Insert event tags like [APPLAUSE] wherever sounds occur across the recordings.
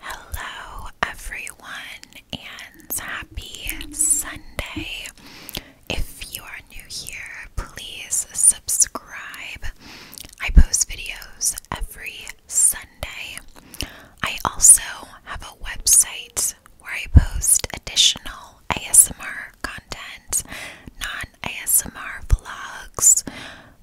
Hello, everyone, and happy Sunday. If you are new here, please subscribe. I post videos every Sunday. I also have a website where I post additional ASMR content, non ASMR vlogs,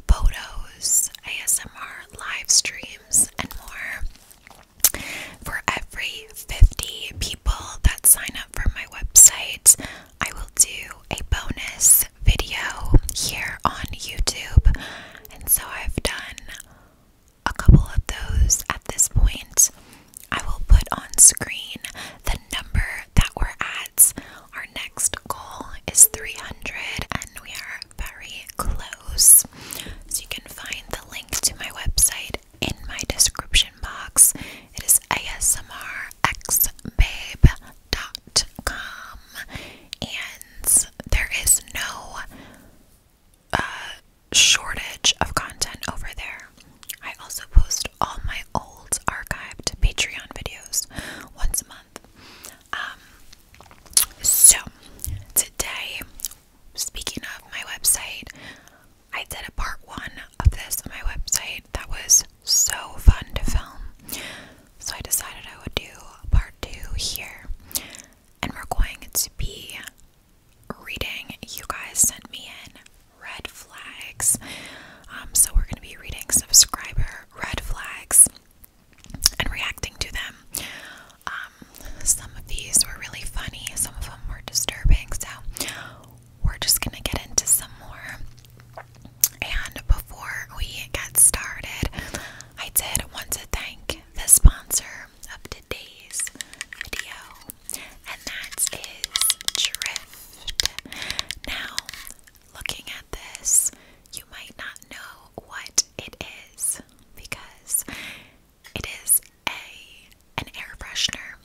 photos, ASMR live streams, and more. For every 50 people that sign up for my website, I will do a bonus video here on YouTube. And so I've done a couple of those at this point. I will put on screen the number that we're at. Our next goal is 300, and we are very close. So you can find the link to my website in my description box. It is asmrxbabe.com, and there is no uh, shortage of content over there. I also post all my old archived Patreon videos once a month. Um, so today, speaking of my website, I did a part one of this on my website that was so fun to film. So I decided I would do part two here, and we're going to be reading. You guys sent me in red flags. Um, so we're going to be reading subscriber red flags and reacting to them. Um, some of these were really funny, some of them were disturbing, so we're just gonna get into some more. And before we get started, I did want to thank the sponsor of today's video, and that is Drift. Now, looking at this, you might not know what it is because it is a an air freshener,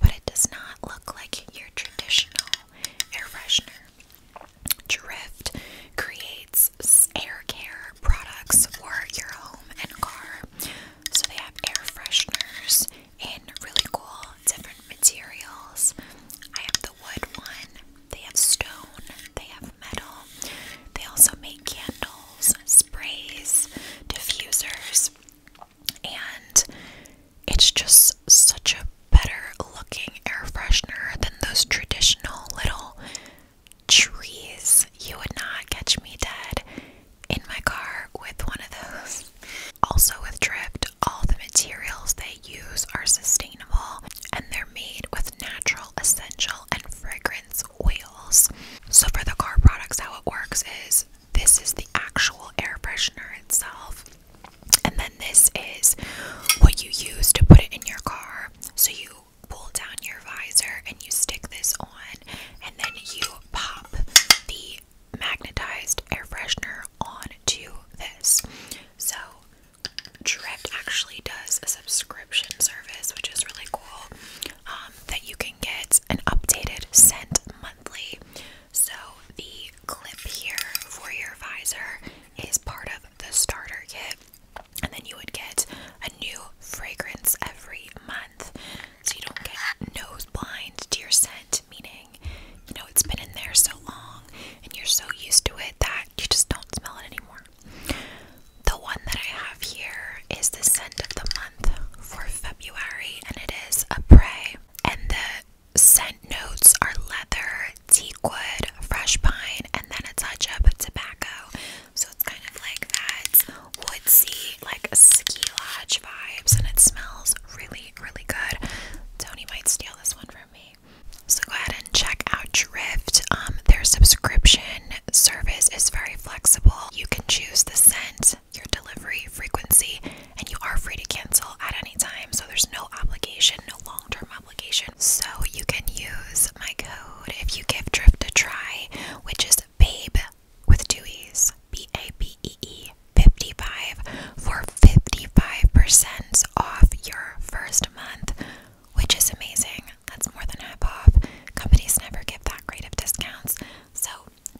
but it does not look like your traditional air freshener. Drift creates air care products for your home and car. So they have air fresheners in really cool different materials. I have the wood one they have stone, they have metal. They also make candles, sprays, diffusers, and it's just such a better looking air freshener than those traditional little trees. You would not catch me dead in my car with one of those. Also, with Drift, all the materials they use are sustainable and they're made with natural, essential, and fragrance oils. So, for the car products, how it works is this is the actual air freshener itself, and then this is what you use to put it in your car. So, you pull down your visor and you stick this on, and then you pop the magnetized air freshener onto this. So, Dripped actually does a subscription service, which is really cool. Um, that you can get an updated scent monthly. So the clip here for your visor is part of the starter kit, and then you would get a new fragrance every month. So you don't get nose blind to your scent, meaning you know it's been in there so long and you're so used to it that you just don't smell it anymore. The one that I have here is the scent of the month for February, and it is a prey. And the scent notes are leather, teakwood, fresh pine, and then a touch of tobacco. So it's kind of like that woodsy, like ski lodge vibes, and it smells really, really good. Tony might steal this one from me. So go ahead and check out Drift. Um, their subscription service is very flexible. You can choose the scent, your delivery frequency, and you are free to cancel at any time. So there's no obligation, no long term obligation. So you can use my code if you give Drift a try, which is BABE with two E's, B A B E E 55 for 55% off your first month, which is amazing. That's more than half off. Companies never give that great of discounts, so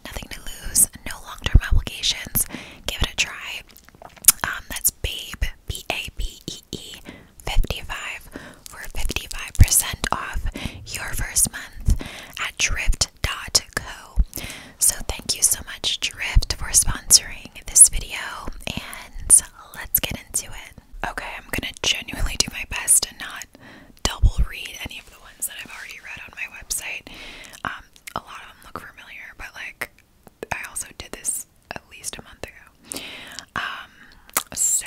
nothing to lose, no long term obligations. Give it a try. Um, that's Babe, B A B E E, 55 for 55% off your first month at drift.co. So, thank you so much, Drift, for sponsoring this video. And let's get into it. Okay, I'm gonna genuinely do my best to not double read any of the ones that I've already read on my website. Um, a lot of them look familiar, but like I also did this at least a month ago. Um, so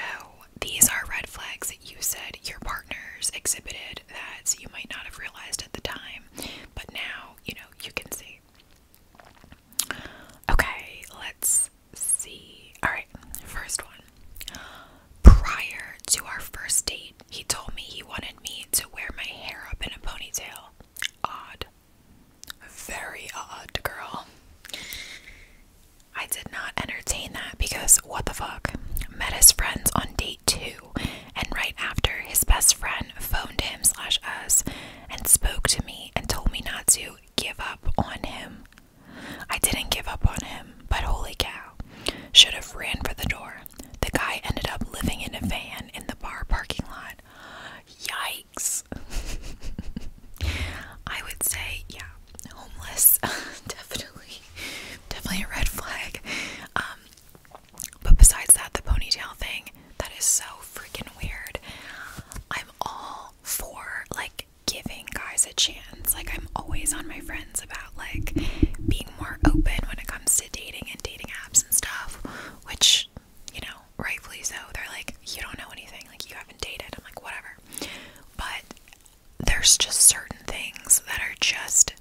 these are red flags that you said your partners exhibited that you might not have realized at the time, but now you know you can see. Okay, let's see. Alright, first one. Prior to our first date, he told me he wanted me to wear my hair up in a ponytail. Odd. Very odd, girl. I did not entertain that because what the fuck? Met his friends on date two, and right after, his best friend phoned him slash us and spoke to me and told me not to give up on him. I didn't give up on him, but holy cow, should have ran for the door. The guy ended up living in a van in the bar parking lot. Yikes. [LAUGHS] I would say, yeah, homeless. [LAUGHS] definitely. Definitely a red flag. Um, but besides that, the ponytail thing, that is so freaking weird. I'm all for like giving guys a chance. Like I'm always on my friends about like being more open when it comes to dating and dating apps and stuff, which, you know, rightfully so. They're like, you don't know anything, like you haven't dated. I'm like, whatever. But there's just certain things that are just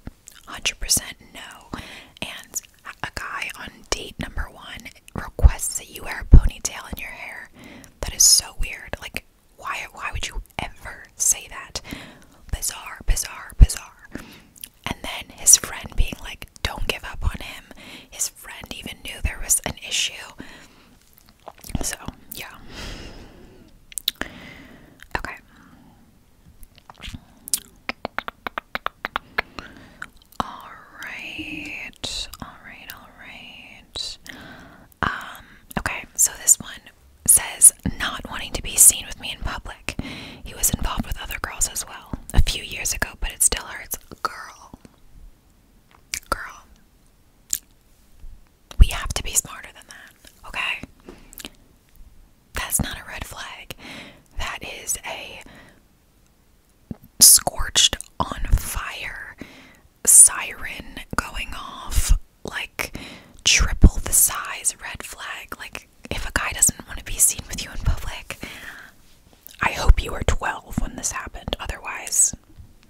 100% no. And a guy on date number one requests that you wear a ponytail in your hair. That is so weird. Like, why? Why would you ever say that? Bizarre, bizarre, bizarre. And then his friend being like, "Don't give up on him." His friend even knew there was an issue. So yeah. Okay. Alright, alright, alright. Um, okay, so this one says not wanting to be seen with me in public. He was involved with other girls as well a few years ago, but it still hurts. Girl. Girl. We have to be smarter than that, okay? That's not a red flag. That is a scorched on fire, siren going off, like triple the size red flag. Like, if a guy doesn't want to be seen with you in public, I hope you were 12 when this happened. Otherwise,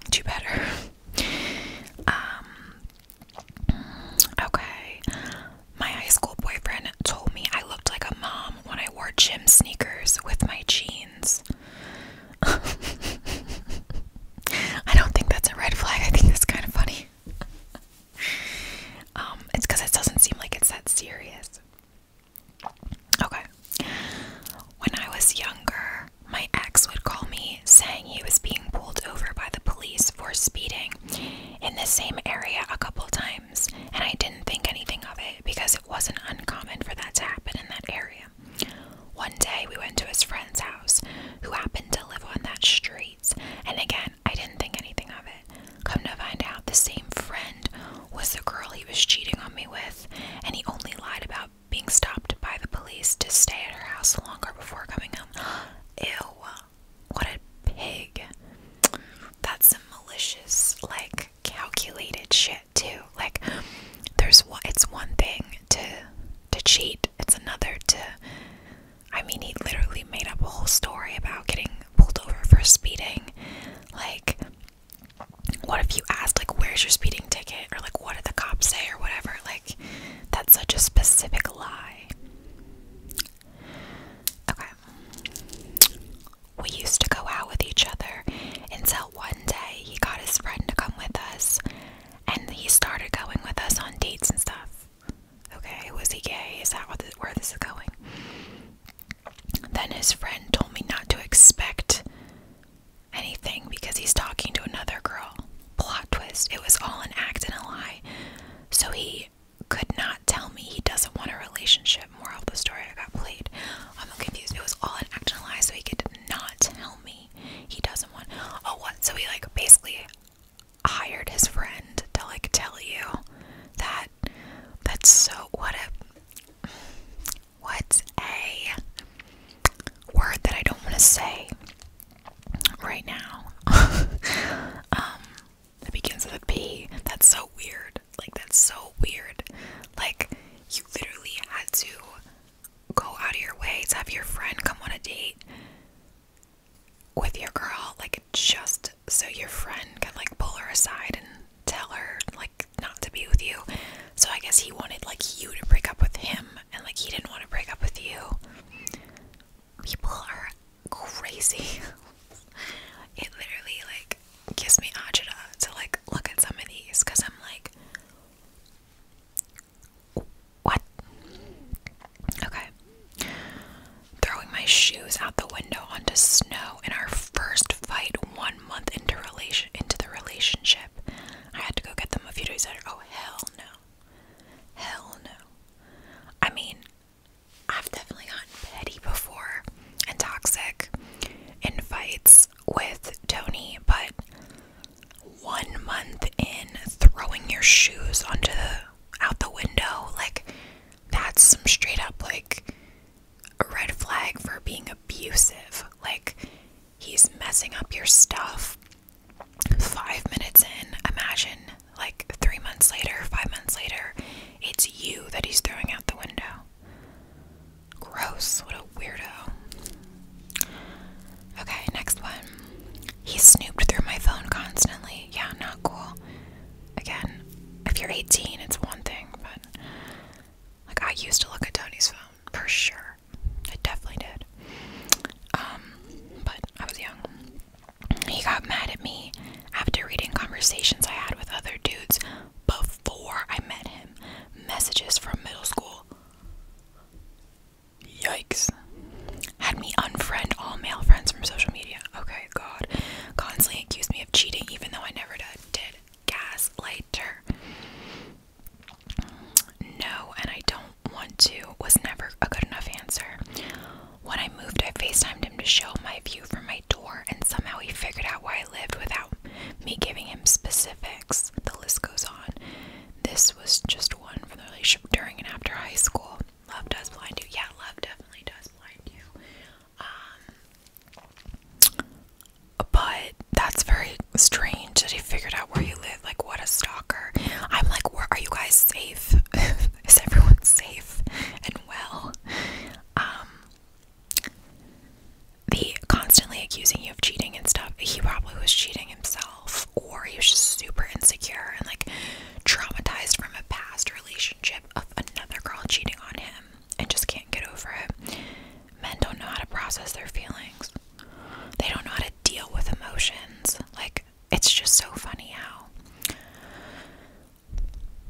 do better. [LAUGHS] Um, okay. My high school boyfriend told me I looked like a mom when I wore gym sneakers with my jeans. [LAUGHS] I don't think that's a red flag. I think that's kind of funny. [LAUGHS] Um, it's because it doesn't seem like it's that serious. Okay. When I was younger, my ex would call me saying he was being pulled over by the police for speeding in the same area a couple times and I didn't think anything of it because it wasn't uncommon for that to happen in that area. One day we went to his friend's house, who happened to live on that street, and again, I didn't think anything of it. Come to find out, the same friend was the girl he was cheating on me with, and he only lied about being stopped by the police to stay at her house longer before coming home. [GASPS] Ew, what a pig. That's some malicious, like calculated shit too. Like there's one it's one thing to to cheat, it's another to I mean he literally made up a whole story about getting pulled over for speeding. Like what if you asked like where's your speeding ticket or like what did the cops say or whatever? Like that's such a specific lie. Okay. We used to go out with each other until one day he got his friend to come with us and he started going with us on dates and stuff. Okay, was he gay? Is that where this is going? Then his friend told me not to expect anything because he's talking to another girl. Plot twist. It was all an act and a lie. So he could not tell me he doesn't want a relationship. More of the story, I got played. I'm confused. It was all an act and a lie, so he could not tell me he doesn't want. Oh, what? So he like basically hired his friend to like tell you that. That's so. What a. What's a word that I don't want to say right now? [LAUGHS] um, that begins with a P. That's so weird. Like, that's so weird. Like, you literally had to go out of your way to have your friend come on a date with your girl, like, just so your friend can, like, pull her aside and tell her, like, not to be with you. So, I guess he wanted, like, you to break up with him, and, like, he didn't want to break up with you. People are crazy. [LAUGHS] it literally like gives me agita to like look at some of these because I'm like what? Okay. Throwing my shoes out the window onto snow in our first fight one month into relation into the relationship. I had to go get them a few days later. Oh hell no. Hell no. I mean, I've definitely gotten petty before and toxic in fights with Tony, but one month in throwing your shoes onto the out the window, like that's some straight up like a red flag for being abusive. Like he's messing up your stuff. Five minutes in, imagine like three months later, five months later, it's you that he's throwing out the window. Gross, what a weirdo. Okay, next one. He snooped through my phone constantly. Yeah, not cool. Again, if you're 18, it's one thing, but like I used to look at Tony's phone for sure. I definitely did. Um, but I was young. He got mad at me after reading conversations I had with other dudes before I met him. Messages from middle school. Yikes. Had me unfriend all male friends from social media. Okay, God. Constantly accused me of cheating even though I never did. Gaslighter. No, and I don't want to was never a good enough answer. When I moved, I FaceTimed him to show my view from my door, and somehow he figured out where I lived without me giving him specifics. The list goes on. This was just one from the relationship during and after high school. Love does blind you. Yeah, love definitely does blind you. Um, but that's very strange that he figured out where you live. Like, what a stalker. I'm like, where are you guys safe? [LAUGHS] Is everyone safe and well? Um, the constantly accusing you of cheating and stuff, he probably was cheating himself, or he was just super insecure and like traumatized from a past relationship of another girl cheating on him and just can't get over it. Men don't know how to process their feelings, they don't know how to deal with emotions. Like, it's just so funny how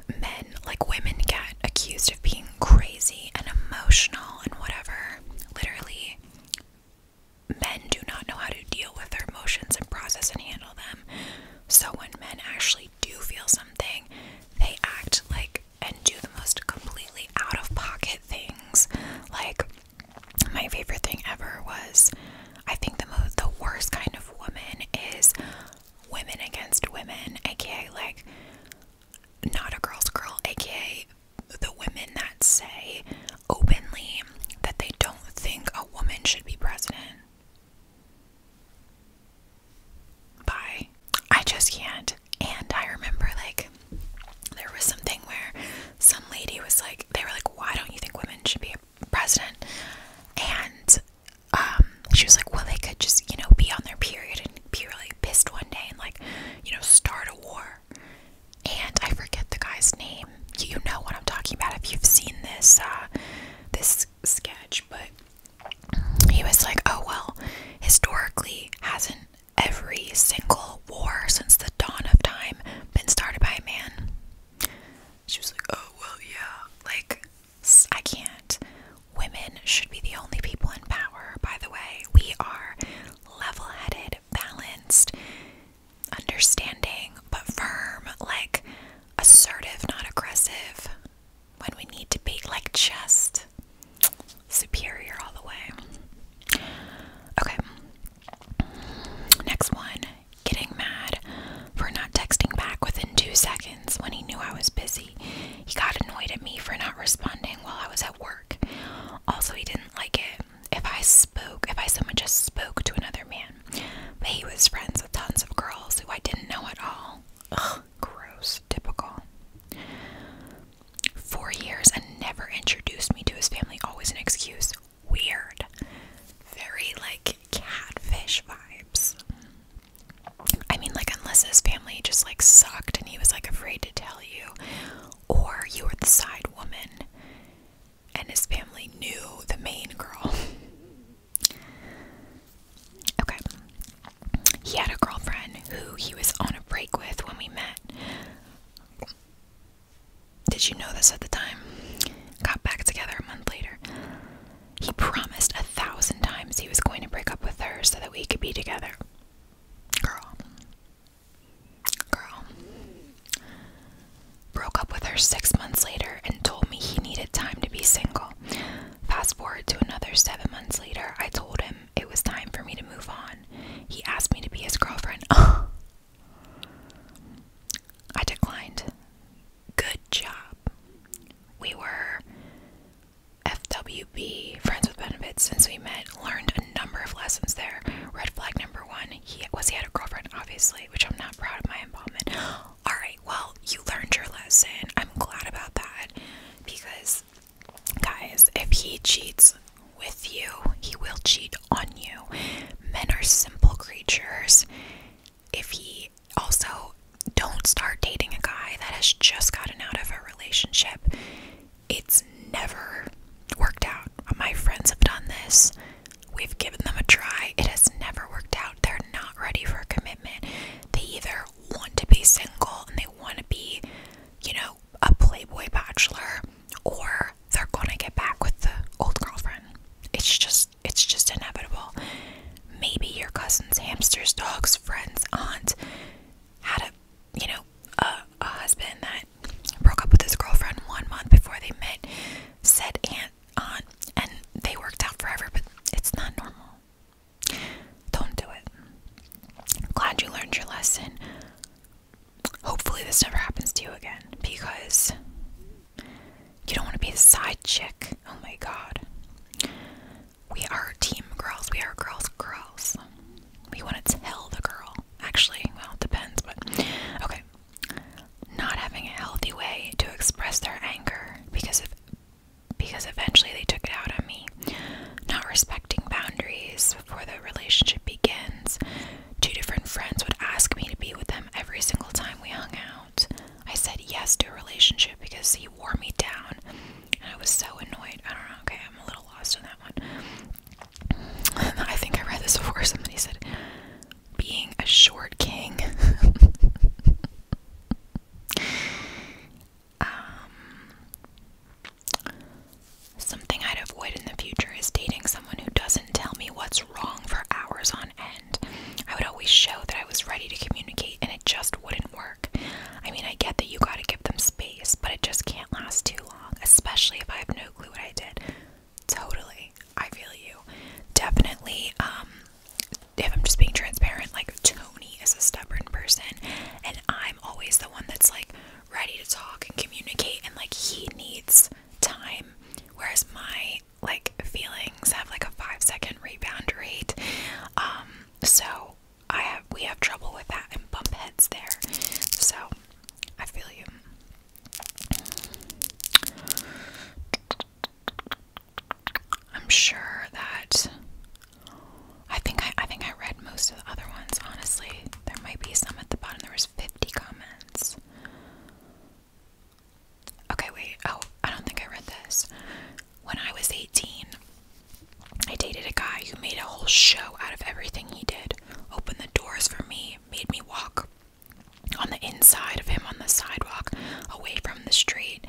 men, like women, get accused of being crazy and emotional and whatever. Literally, men do not know how to deal with their emotions and process and handle them. So, when men actually do feel something, they act like and do the most completely out of pocket things. Like, my favorite thing ever was I think the most, the worst kind of woman is women against women, aka like not a girl's girl, aka the women that say openly that they don't think a woman should be president. Bye. I just can't. And I remember like there was something where some lady was like, they were like, why don't you think women should be president, and um, she was like, well, they could just, you know, be on their period and be really pissed one day and like, you know, start a war. And I forget the guy's name. You know what I'm talking about if you've seen this uh, this sketch, but he was like, oh well, historically hasn't every single war since the dawn of time been started by a man she was like, oh, well, yeah. Like, I can't. Women should be the only people in power, by the way. We are level headed, balanced, understanding, but firm, like assertive, not aggressive. When we need to be, like, just superior all the way. Okay. Next one getting mad for not texting back within two seconds when he knew I was busy. He got annoyed at me for not responding while I was at work. Also, he didn't like it if I spoke, if I so much as spoke to another man. But he was friends with tons of girls who I didn't know at all. Ugh, gross, typical. Four years and never introduced me to his family, always an excuse weird, very like catfish vibes. I mean, like, unless his family just like sucked and he was like afraid to tell you, or you were the side woman and his family knew the main girl. [LAUGHS] okay. He had a girlfriend who he was on a break with when we met. Did you know this at the time? Got back together a month later. He promised a thousand times he was going to break up with her so that we could be together. Girl. Girl. Broke up with her six months later and told me he needed time to be single. Fast forward to another seven months later, I told him it was time for me to move on. He asked me to be his girlfriend. [LAUGHS] I declined. Good job. We were FWB, Friends with Benefits, since we met, learned a number of lessons there. Red flag number one, he was he had a girlfriend, obviously, which I'm not proud of my involvement. Alright, well, you learned your lesson. I'm glad about that. Because guys, if he cheats with you, he will cheat on you. Men are simple creatures. If he also don't start dating a guy that has just gotten out of a relationship, it's never worked out. My friends have done this. We've given them a try. It has never worked out. They're not ready for a commitment. They either want to be single and they want to be, you know, a playboy bachelor or they're gonna get back with the old girlfriend. It's just it's just inevitable. Maybe your cousin's hamsters, dogs, friends, aunt had a you know a, husband that broke up with his girlfriend one month before they met. Said aunt, aunt, and they worked out forever. But it's not normal. Don't do it. Glad you learned your lesson hopefully this never happens to you again because you don't want to be the side chick. Oh my god. We are team girls. We are girls, girls. We want to tell the girl. Actually, well, it depends, but okay. Not having a healthy way to express their anger because of because eventually they took it out on me. Not respecting boundaries before the relationship begins. Two different friends would ask me to be with them every single time we hung out. I said yes to a relationship because he wore me down, and I was so annoyed. I don't know. Okay, I'm a little lost on that one. [LAUGHS] I think I read this before. Somebody said, "Being a short king." [LAUGHS] um, something I'd avoid in the future is dating someone someone who doesn't tell me what's wrong for hours on end. I would always show that I was ready to communicate and it just wouldn't work. I mean, I get that you gotta give them space, but it just can't last too long, especially if I have no clue what I did. Totally. I feel you. Definitely, um, if I'm just being transparent, like Tony is a stubborn person, and I'm always the one that's like ready to talk and communicate, and like he needs time, whereas my like feelings have like a five second rebound rate. Um, so I have we have trouble with that and bump heads there. So I feel you. I'm sure that I think I, I think I read most of the other ones. Honestly, there might be some at the bottom. There were 50 comments. Okay, wait. Oh, I don't think I read this. When I was 18, I dated a guy who made a whole show out of everything he did. Opened the doors for me, made me walk on the inside of him on the sidewalk, away from the street.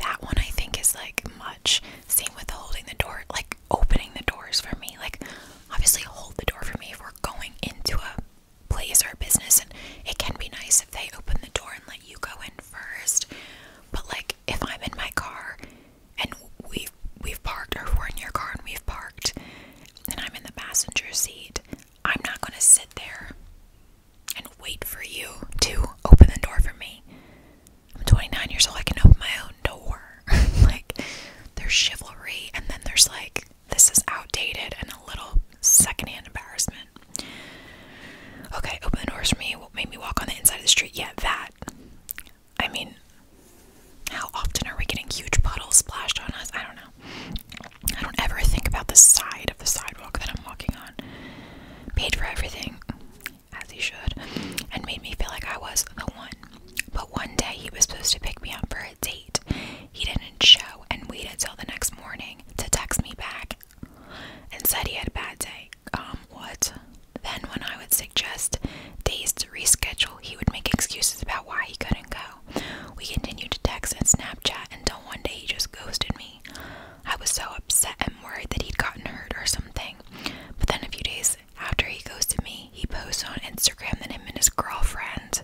That one I think is like much. Same with holding the door, like opening the doors for me. Like, obviously hold the door for me we're going into a place or a business and it can be nice if they open the door and let you go in first but like if i'm in my car and we've we've parked or we're in your car and we've parked and i'm in the passenger seat i'm not going to sit there and wait for you to open the door for me i'm 29 years old i can open my own door [LAUGHS] like there's chivalry and then there's like this is outdated and a little secondhand embarrassment. Okay, open the doors for me. What made me walk on the inside of the street? Yeah, that. I mean, how often are we getting huge puddles splashed on us? I don't know. I don't ever think about the side of the sidewalk that I'm walking on. Paid for everything, as he should, and made me feel like I was the one. But one day he was supposed to pick me up for a date. He didn't show and waited till the next morning to text me back and said he had a bad day. Um, what? Then, when I would suggest days to reschedule, he would make excuses about why he couldn't go. We continued to text and Snapchat until one day he just ghosted me. I was so upset and worried that he'd gotten hurt or something. But then, a few days after he ghosted me, he posted on Instagram that him and his girlfriend,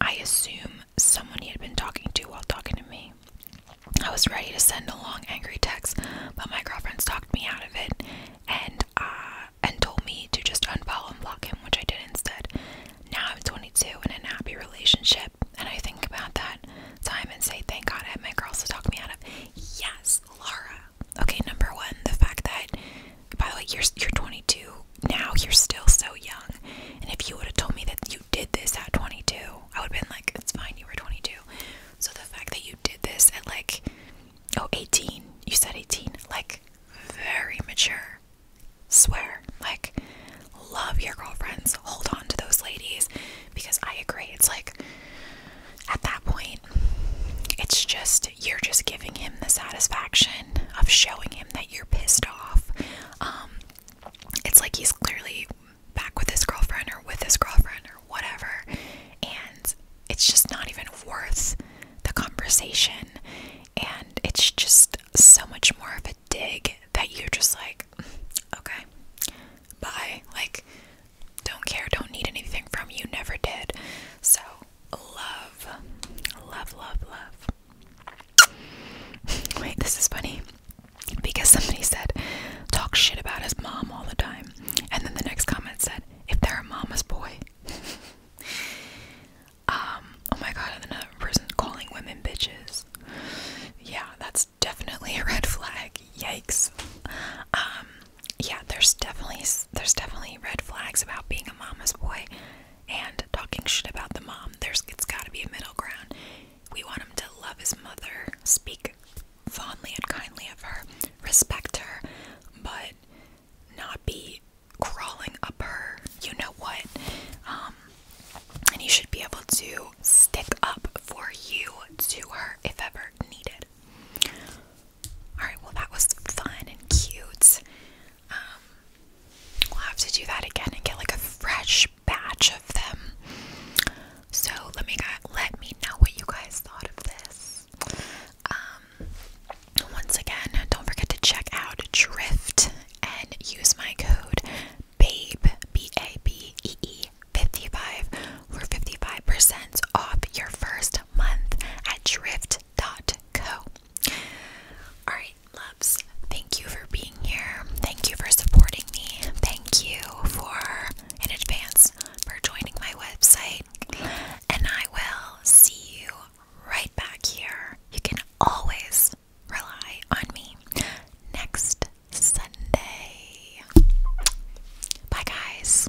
I assume someone he had been talking to while talking to me. I was ready to send a long angry text, but my girlfriend stalked me out of it and uh, and told me to just unfollow and block him, which I did instead. Now I'm 22 and in a happy relationship, and I think about that time and say, thank God I had my girls to talk me out of. Yes, Laura, Okay, number one, the fact that, by the way, you're you're 22 now. You're still so young. And if you would have told me that you did this at 22, I would have been like, it's fine. You were 22. So the fact that you did this at like, oh, 18. You said 18. Like, very mature. Swear. Like, love your girlfriends. Hold on to those ladies because I agree. It's like, at that point, it's just you're just giving him the satisfaction of showing him that you're pissed off. Um, it's like he's clearly back with his girlfriend or with his girlfriend or whatever, and it's just not even worth the conversation. And it's just so much more of a dig that you're just like, okay, bye. Like, don't care, don't need anything from you, never did. So love, love, love, love. Wait, this is funny because somebody said, talk shit about his mom all the time. And then the next comment said, if they're a mama's boy. [LAUGHS] um, oh my god, and then another person calling women bitches. Yeah, that's definitely a red flag. Yikes. Um, yeah, there's definitely there's definitely red flags about being a mama's boy and talking shit about the mom. There's it's got to be a middle ground. We want him to love his mother, speak fondly and kindly of her, respect her, but not be crawling up her. You know what? Um, and he should be able to stick up for you to her if ever needed. Alright, well, that was fun and cute. Um, we'll have to do that again and get like a fresh batch of them. So let me let me know what you guys thought of this. Um, once again, don't forget to check out Drift and use my code BABE B A B E E 55 for 55% off your first month at Drift co. Alright, loves, thank you for being here. Thank you for supporting me. Thank you for, in advance, for joining my website. And I will see you right back here. You can always rely on me next Sunday. Bye, guys.